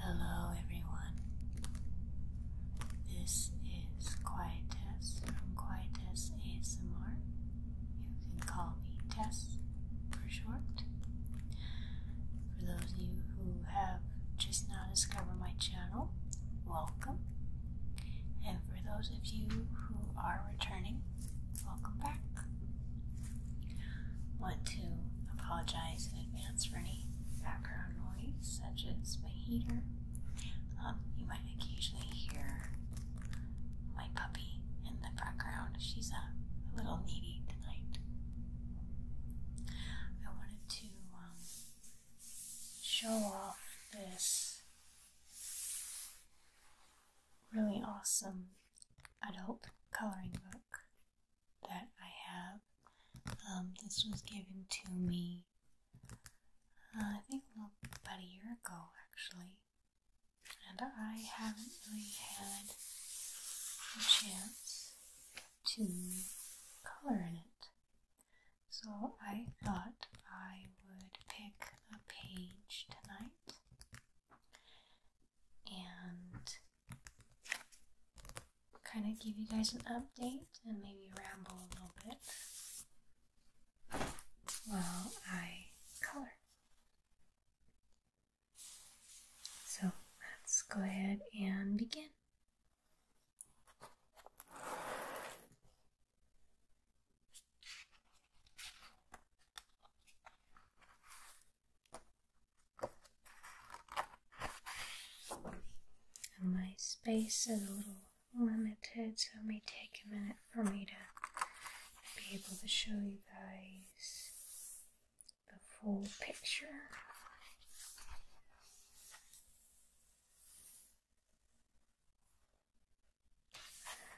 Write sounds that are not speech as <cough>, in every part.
Hello, everyone. This is Quiet Tess from Quiet Tess ASMR. You can call me Tess for short. For those of you who have just now discovered my channel, welcome. And for those of you who are returning, welcome back. Want to apologize in advance for any background noise, such as my heater. Um, you might occasionally hear my puppy in the background. She's a, little needy tonight. I wanted to um, show off this really awesome adult coloring book that I have. Um, this was given to me, uh, I think about a year ago actually, and I haven't really had a chance to color in it. So I thought I would pick a page tonight and kind of give you guys an update and maybe ramble a little bit while I color. So let's go ahead and begin my space is a little limited, so it may take a minute for me to be able to show you guys the full picture.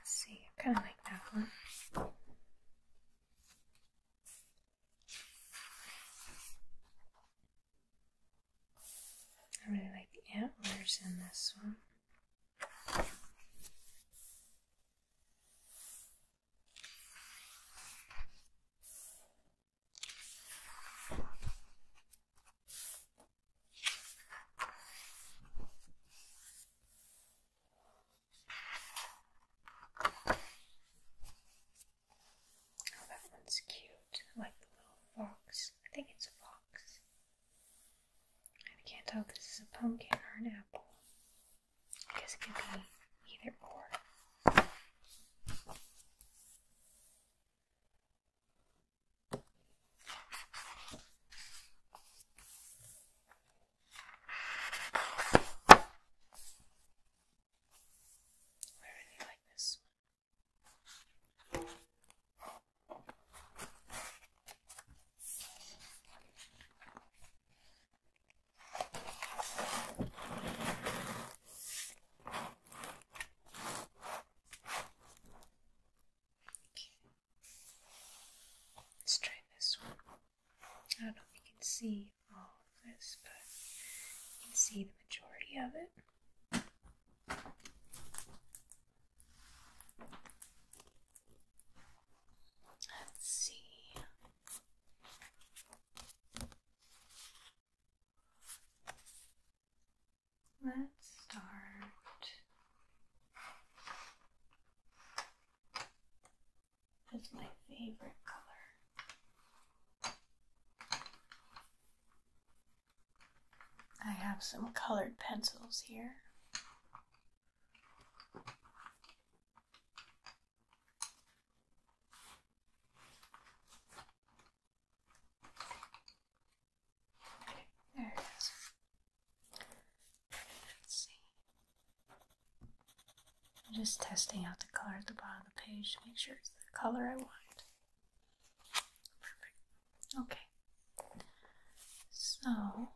see, I kind of like that one. I really like antlers in this one. Oh, that one's cute. like the little fox. I think it's a fox. I can't tell if this is a pumpkin or an apple. Because it could be either or. I really like this one. Let's try this one. I don't know if you can see all of this, but you see the majority of it. Let's see. Let's start with my favorite color. I have some colored pencils here. Okay, there it is. Let's see. I'm just testing out the color at the bottom of the page to make sure it's the color I want. Perfect. Okay. So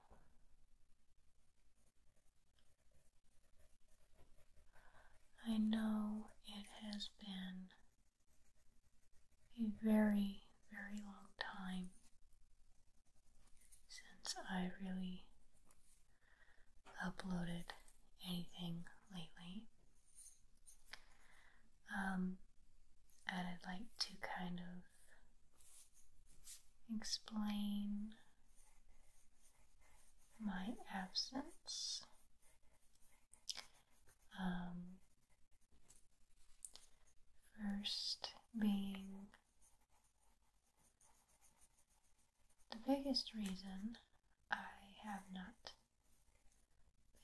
I know it has been a very, very long time since I really uploaded anything lately. Um, and I'd like to kind of explain my absence. Um, first being the biggest reason I have not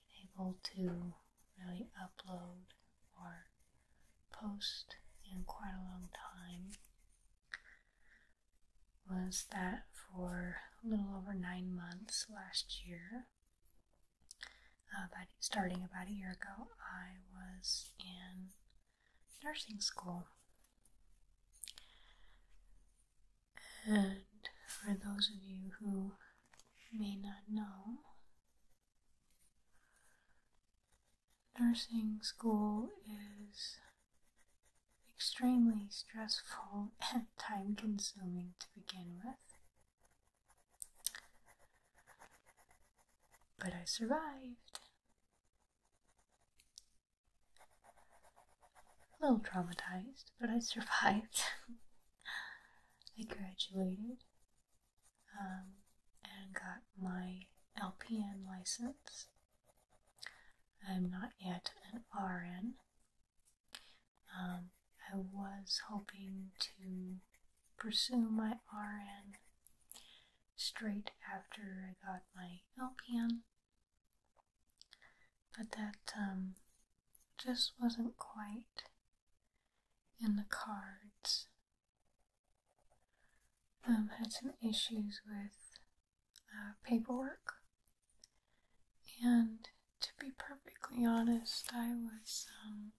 been able to really upload or post in quite a long time was that for a little over nine months last year, uh, starting about a year ago, I was in nursing school. And for those of you who may not know, nursing school is extremely stressful <laughs> and time consuming to begin with. But I survived. A little traumatized, but I <laughs> survived. I graduated um, and got my LPN license I'm not yet an RN. Um, I was hoping to pursue my RN straight after I got my LPN, but that um, just wasn't quite in the cards. Um, had some issues with uh, paperwork. And to be perfectly honest, I was um,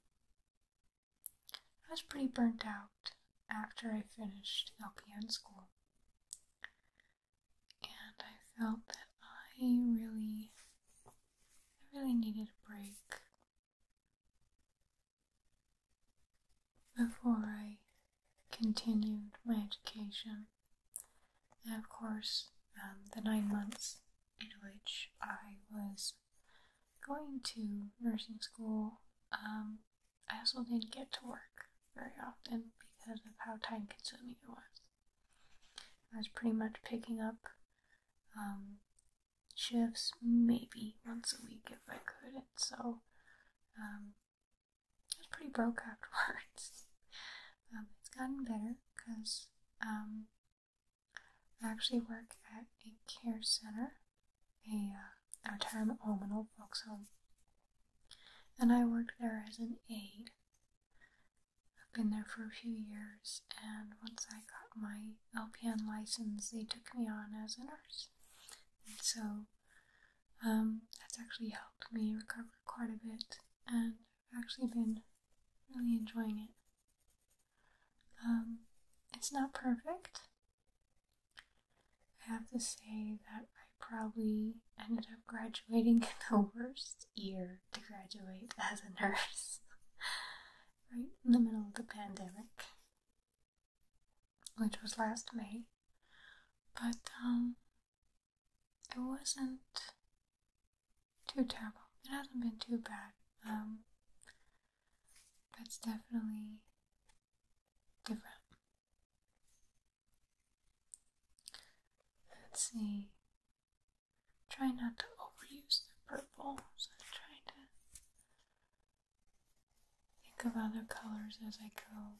I was pretty burnt out after I finished LPN school, and I felt that I really, I really needed a break before I continued my education. And of course, um, the nine months in which I was going to nursing school, um, I also didn't get to work very often because of how time consuming it was. I was pretty much picking up um, shifts maybe once a week if I could, so I was pretty broke afterwards. <laughs> Um, it's gotten better because um, I actually work at a care center, a, a uh, retirement home, an old folks home, and I worked there as an aide. I've been there for a few years, and once I got my LPN license, they took me on as a nurse. And so um, that's actually helped me recover quite a bit, and I've actually been really enjoying it. Um, it's not perfect. I have to say that I probably ended up graduating <laughs> in the worst year to graduate as a nurse, <laughs> right in the middle of the pandemic, which was last May. But um, it wasn't too terrible. It hasn't been too bad. Um, it's definitely different. Let's see. Try not to overuse the purple. So I'm trying to think of other colors as I go.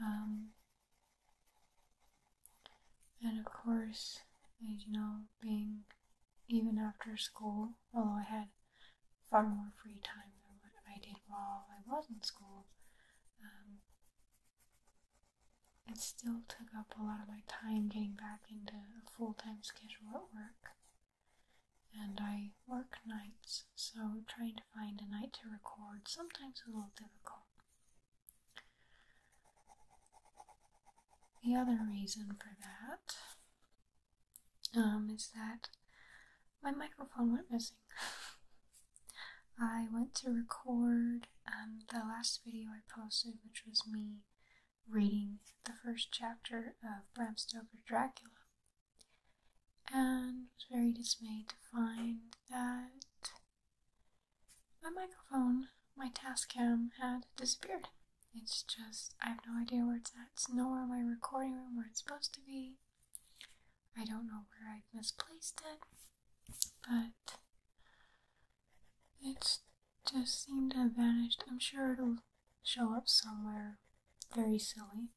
Um, and of course, you know, being even after school, although I had far more free time than what I did while I was in school, um, it still took up a lot of my time getting back into a full time schedule at work and I work nights, so trying to find a night to record sometimes a little difficult. The other reason for that um, is that my microphone went missing. <laughs> I went to record the last video I posted, which was me reading the first chapter of Bram Stoker's Dracula and was very dismayed to find that my microphone, my Tascam, had disappeared. It's just, I have no idea where it's at. It's nowhere in my recording room where it's supposed to be. I don't know where I've misplaced it, but it just seemed to have vanished. I'm sure it'll show up somewhere very silly,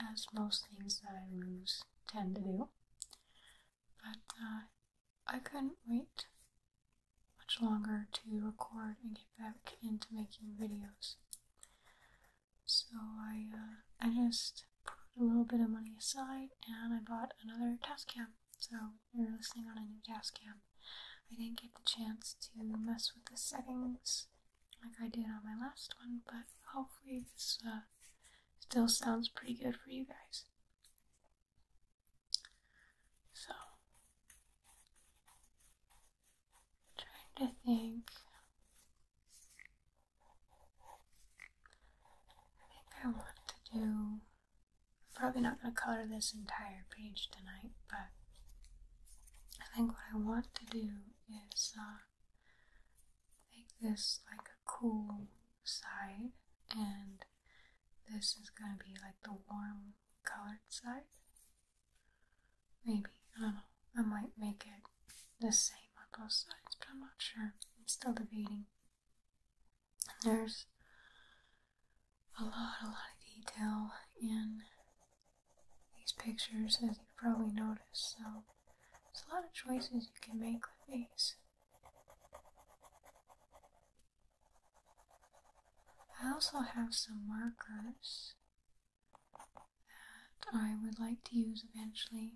as most things that I lose tend to do. But uh, I couldn't wait much longer to record and get back into making videos. So I, uh, I just put a little bit of money aside and I bought another test cam. So you're listening on a new gas cam, I didn't get the chance to mess with the settings like I did on my last one, but hopefully this uh, still sounds pretty good for you guys. So, trying to think. I think I want to do probably not going to color this entire page tonight, but I think what I want to do is uh, make this like a cool side, and this is going to be like the warm colored side. Maybe, I don't know. I might make it the same on both sides, but I'm not sure. I'm still debating. And there's a lot, a lot of detail in these pictures, as you probably noticed. So there's a lot of choices you can make with these. I also have some markers that I would like to use eventually,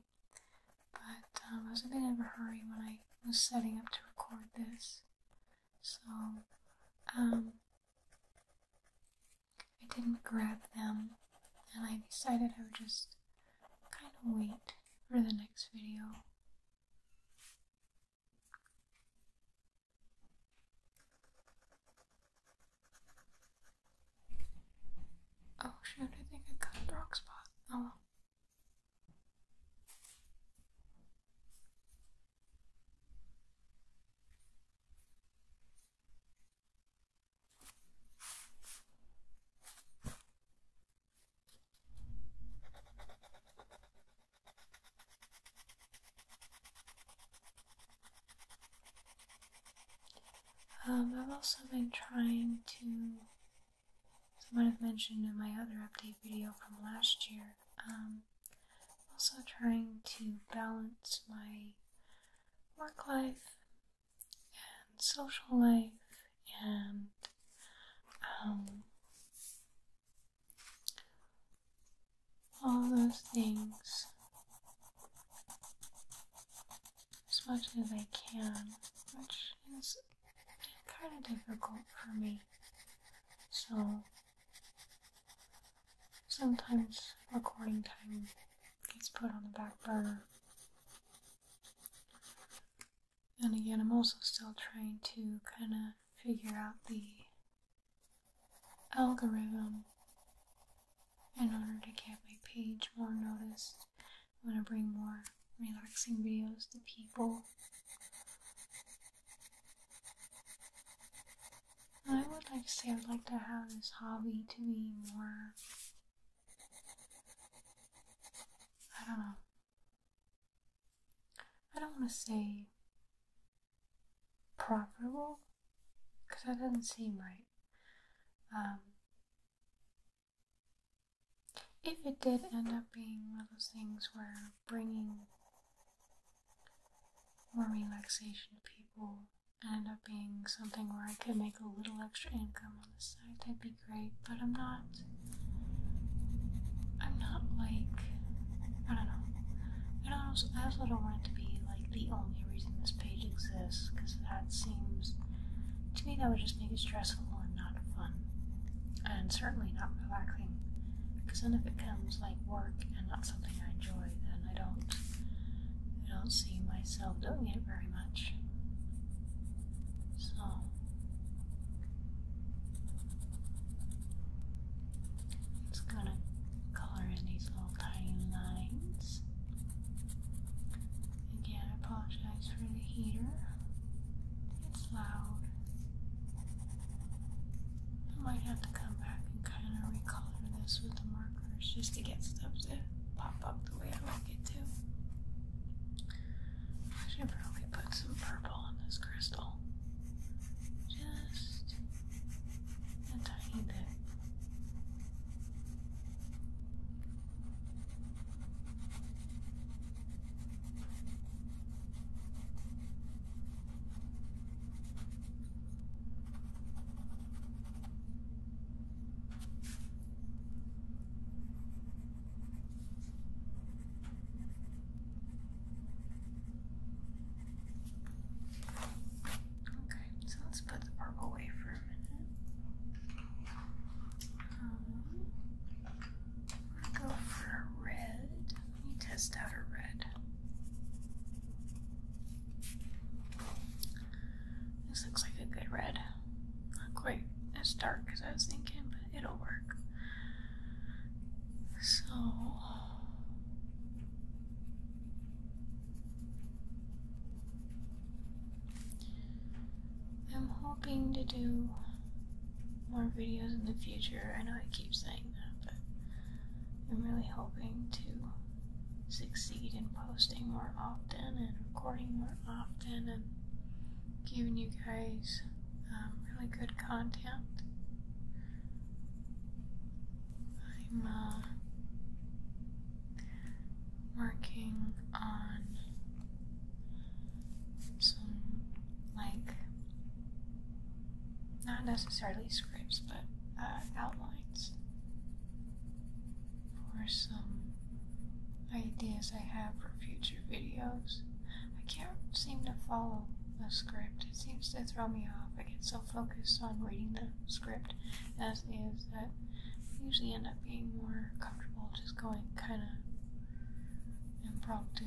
but um, I was a bit in a hurry when I was setting up to record this so um, I didn't grab them and I decided I would just kind of wait for the next video. Oh shoot, I think I cut the rock spot. Oh um, I've also been trying to, as I might have mentioned in my other update video from last year, um, also trying to balance my work life and social life and um, all those things as much as I can, which is kind of difficult for me. So Sometimes recording time gets put on the back burner. And again, I'm also still trying to kind of figure out the algorithm in order to get my page more noticed. I want to bring more relaxing videos to people. I would like to say I'd like to have this hobby to be more I don't know. I don't want to say profitable because that doesn't seem right. Um, if it did end up being one of those things where bringing more relaxation to people end up being something where I could make a little extra income on the side, that'd be great. But I'm not. I'm not like. I don't know. I also don't want it to be like the only reason this page exists, because that seems. To me, that would just make it stressful and not fun and certainly not relaxing. Because then if it comes like work and not something I enjoy, then I don't I don't see myself doing it very much. So it's gonna color in these little tiny lines. Again, apologize for the heater loud. I might have to come back and kind of recolor this with the markers just to get stuff to pop up the way I like it to. I should probably put some purple on this crystal. Just a tiny bit. Okay, so let's put the purple away for a minute. Um, i go for a red. Let me test out a red. This looks like a good red. Not quite as dark as I was thinking, but it'll work. So. I'm hoping to do more videos in the future. I know I keep saying that, but I'm really hoping to succeed in posting more often and recording more often and giving you guys um, really good content. I'm uh, working on some like not necessarily scripts, but uh, outlines for some ideas I have for future videos. I can't seem to follow the script. It seems to throw me off. I get so focused on reading the script as is that I usually end up being more comfortable just going kind of impromptu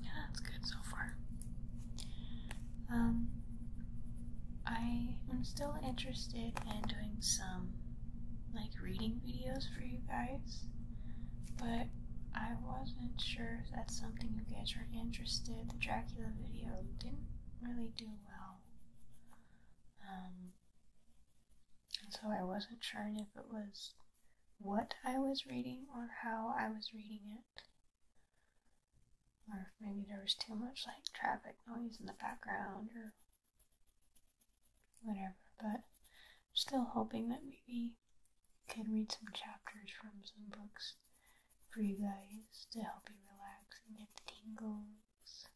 Yeah, that's good so far. Um, I am still interested in doing some like reading videos for you guys, but I wasn't sure if that's something you guys were interested. The Dracula video didn't really do well. Um, and so I wasn't sure if it was what I was reading or how I was reading it. Or maybe there was too much like traffic noise in the background or whatever. But still hoping that maybe I can read some chapters from some books for you guys to help you relax and get the tingles.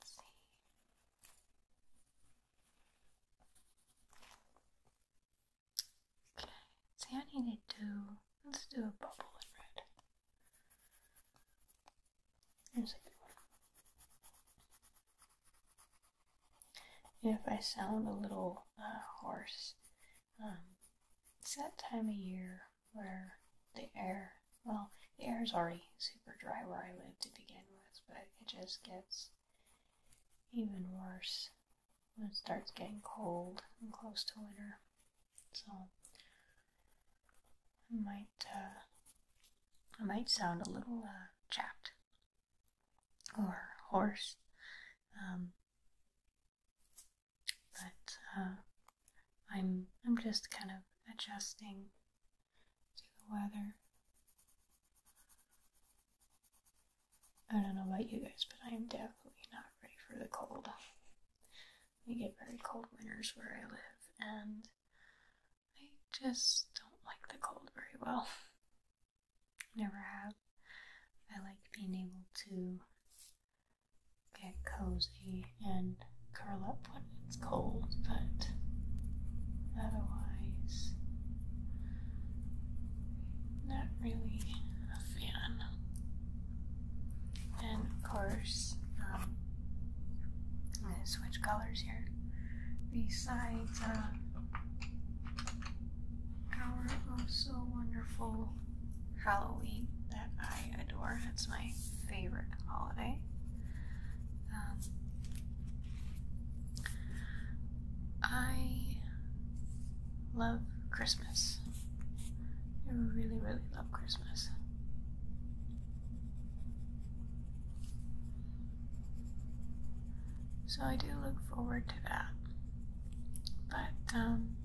Let's see. Okay, so I need to do, let's do a bubble in red. Here's a good one. if I sound a little uh, hoarse, um, it's that time of year where the air, well, the air is already super dry where I live to begin with, but it just gets even worse when it starts getting cold and close to winter. So I might uh, I might sound a little uh, chapped or hoarse, um, but uh, I'm I'm just kind of adjusting to the weather. I don't know about you guys, but I am definitely not ready for the cold. We get very cold winters where I live, and I just don't like the cold very well. Never have. I like being able to get cozy and curl up when it's cold, but otherwise, not really a fan. And of course, um, I'm gonna switch colors here. Besides, uh, our oh so wonderful Halloween that I adore, that's my favorite holiday. Um, I love Christmas. I really, really love Christmas. So I do look forward to that. But, um,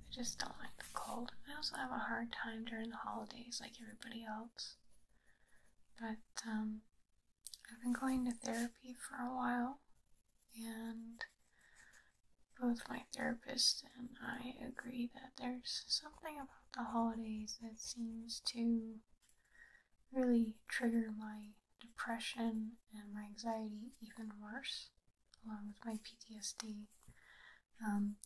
I just don't like the cold. I also have a hard time during the holidays, like everybody else. But um, I've been going to therapy for a while, and both my therapist and I agree that there's something about the holidays that seems to really trigger my depression and my anxiety even worse, along with my PTSD. Um,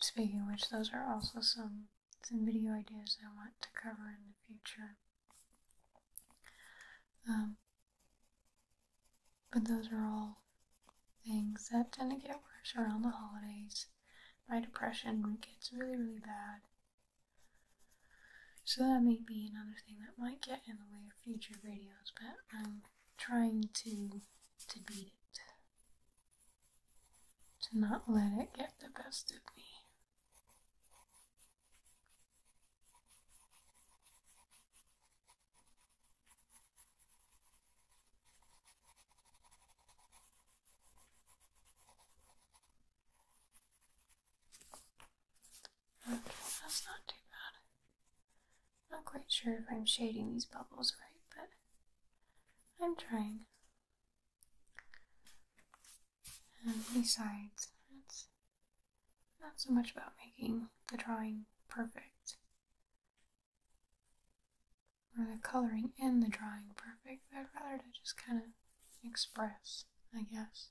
Speaking which, those are also some some video ideas I want to cover in the future. Um, but those are all things that tend to get worse around the holidays. My depression gets really, really bad. So that may be another thing that might get in the way of future videos, but I'm trying to to beat it to not let it get the best of me. Okay, that's not too bad. Not quite sure if I'm shading these bubbles right, but I'm trying. And besides, it's not so much about making the drawing perfect or the coloring in the drawing perfect. I'd rather to just kind of express, I guess.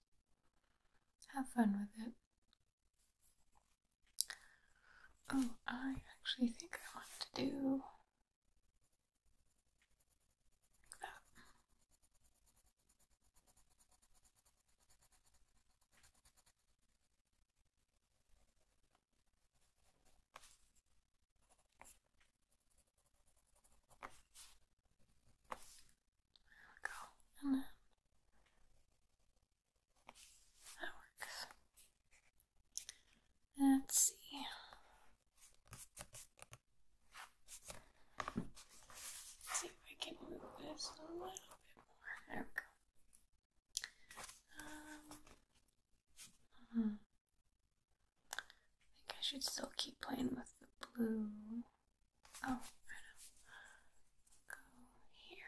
Have fun with it. Oh, I actually think I want to do there we go. And then that works. Let's see. see if I can move this a little bit more. Um, hmm. I think I should still keep playing with the blue. Oh, right up. Go here.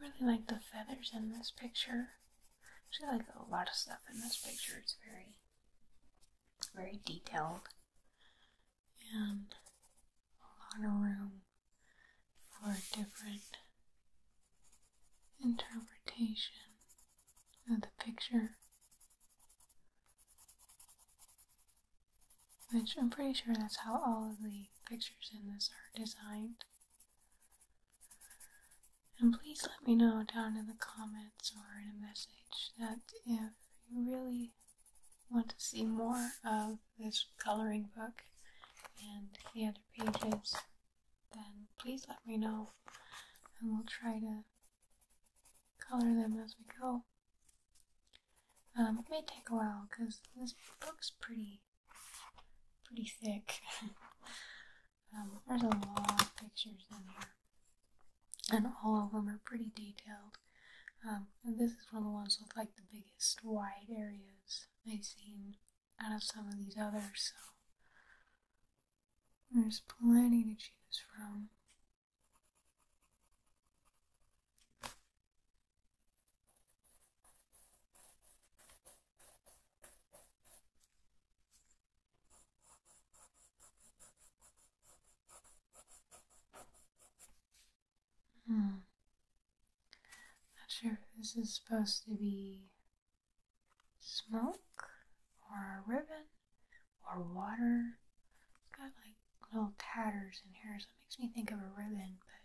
I really like the feathers in this picture. Actually, I like a lot of stuff in this picture. It's very, very detailed and a lot of room for different interpretation of the picture. Which I'm pretty sure that's how all of the pictures in this are designed. And please let me know down in the comments or in a message that if you really want to see more of this coloring book and the other pages, then please let me know and we'll try to color them as we go. Um, it may take a while because this book's pretty pretty thick. <laughs> Um, there's a lot of pictures in here, and all of them are pretty detailed. Um, this is one of the ones with like the biggest wide areas I've seen out of some of these others. So there's plenty to choose from. Hmm. Not sure if this is supposed to be smoke or ribbon or water. It's got like little tatters in here, so it makes me think of a ribbon, but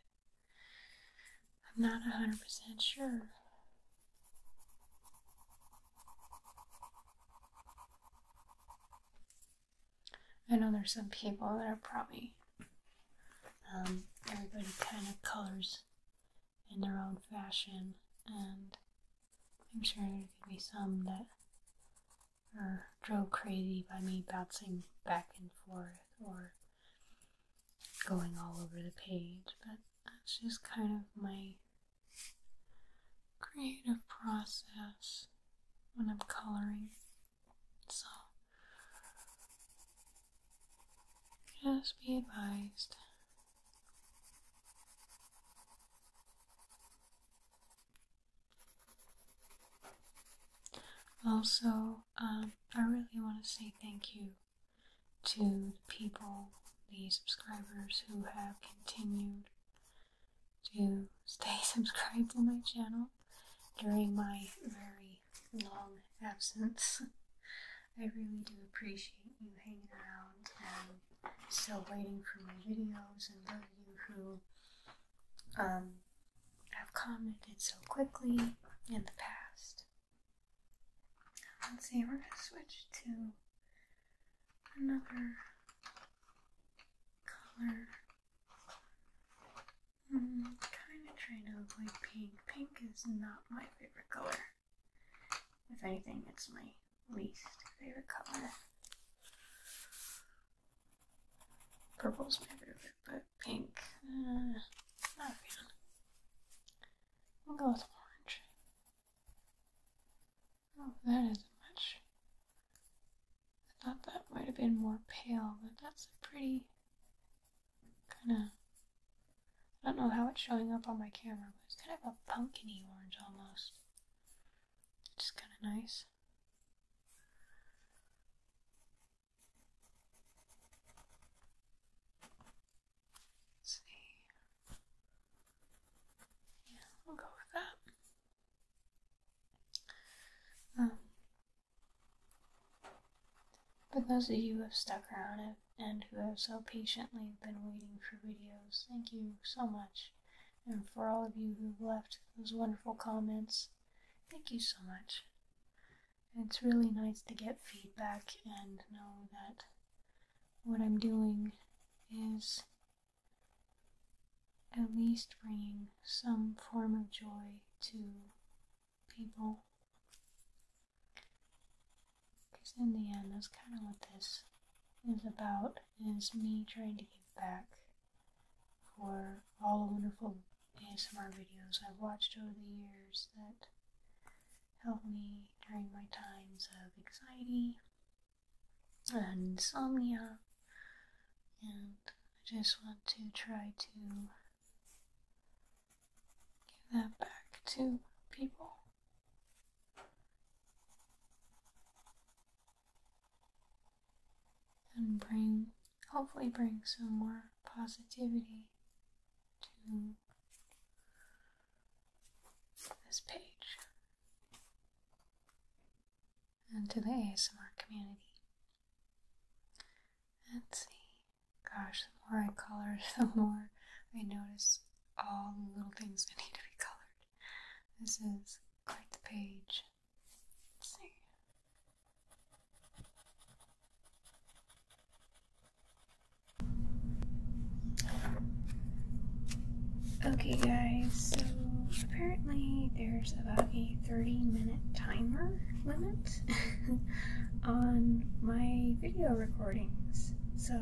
I'm not a hundred percent sure. I know there's some people that are probably um, everybody kind of colors in their own fashion, and I'm sure there could be some that are drove crazy by me bouncing back and forth or going all over the page, but that's just kind of my creative process when I'm coloring. So, just be advised. Also, um, I really want to say thank you to the people, the subscribers who have continued to stay <laughs> subscribed to my channel during my very long absence. I really do appreciate you hanging around and still waiting for my videos and those of you who um, I've commented so quickly in the past. Let's see, we're going to switch to another color. I'm hmm, kind of trying to avoid pink. Pink is not my favorite color. If anything, it's my least favorite color. Purple's my favorite, but pink. Uh, not really. I'll go with orange. Oh, that isn't much. I thought that might have been more pale, but that's a pretty kind of. I don't know how it's showing up on my camera, but it's kind of a pumpkiny orange almost. It's kind of nice let see. Yeah, we'll go with that. Um, but those of you who have stuck around and who have so patiently been waiting for videos, thank you so much. And for all of you who've left those wonderful comments, thank you so much. It's really nice to get feedback and know that what I'm doing is at least bringing some form of joy to people. Because in the end, that's kind of what this is about, is me trying to give back for all the wonderful some ASMR videos I've watched over the years that helped me during my times of anxiety and insomnia. And I just want to try to give that back to people. And bring hopefully bring some more positivity to this page and to the ASMR community. Let's see. Gosh, the more I color, <laughs> the more I notice all the little things that need to be colored. This is quite the page. Okay, guys, so apparently there's about a 30 minute timer limit <laughs> on my video recordings. So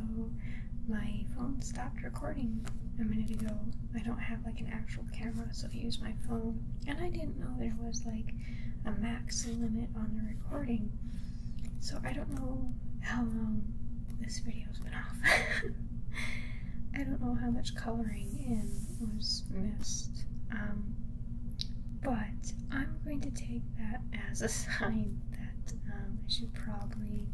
my phone stopped recording a minute ago. I don't have like an actual camera, so I use my phone. And I didn't know there was like a max limit on the recording. So I don't know how long this video's been off. <laughs> I don't know how much coloring in was missed. Um, but I'm going to take that as a <laughs> sign that um, I should probably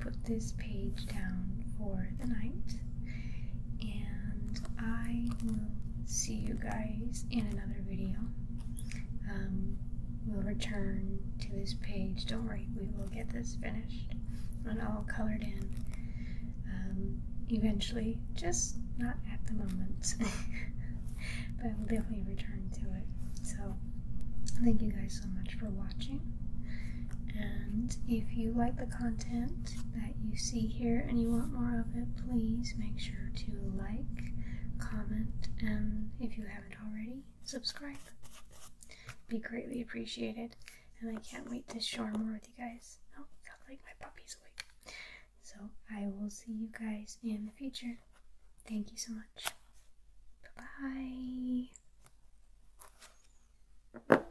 put this page down for the night and I will see you guys in another video. Um, we'll return to this page. Don't worry, we will get this finished and all colored in um, eventually, just not at the moment. <laughs> but we'll definitely return to it. So, thank you guys so much for watching. And if you like the content you see here and you want more of it, please make sure to like, comment, and if you haven't already, subscribe. be greatly appreciated, and I can't wait to share more with you guys. Oh, sounds like my puppy's awake. So I will see you guys in the future. Thank you so much. Bye bye.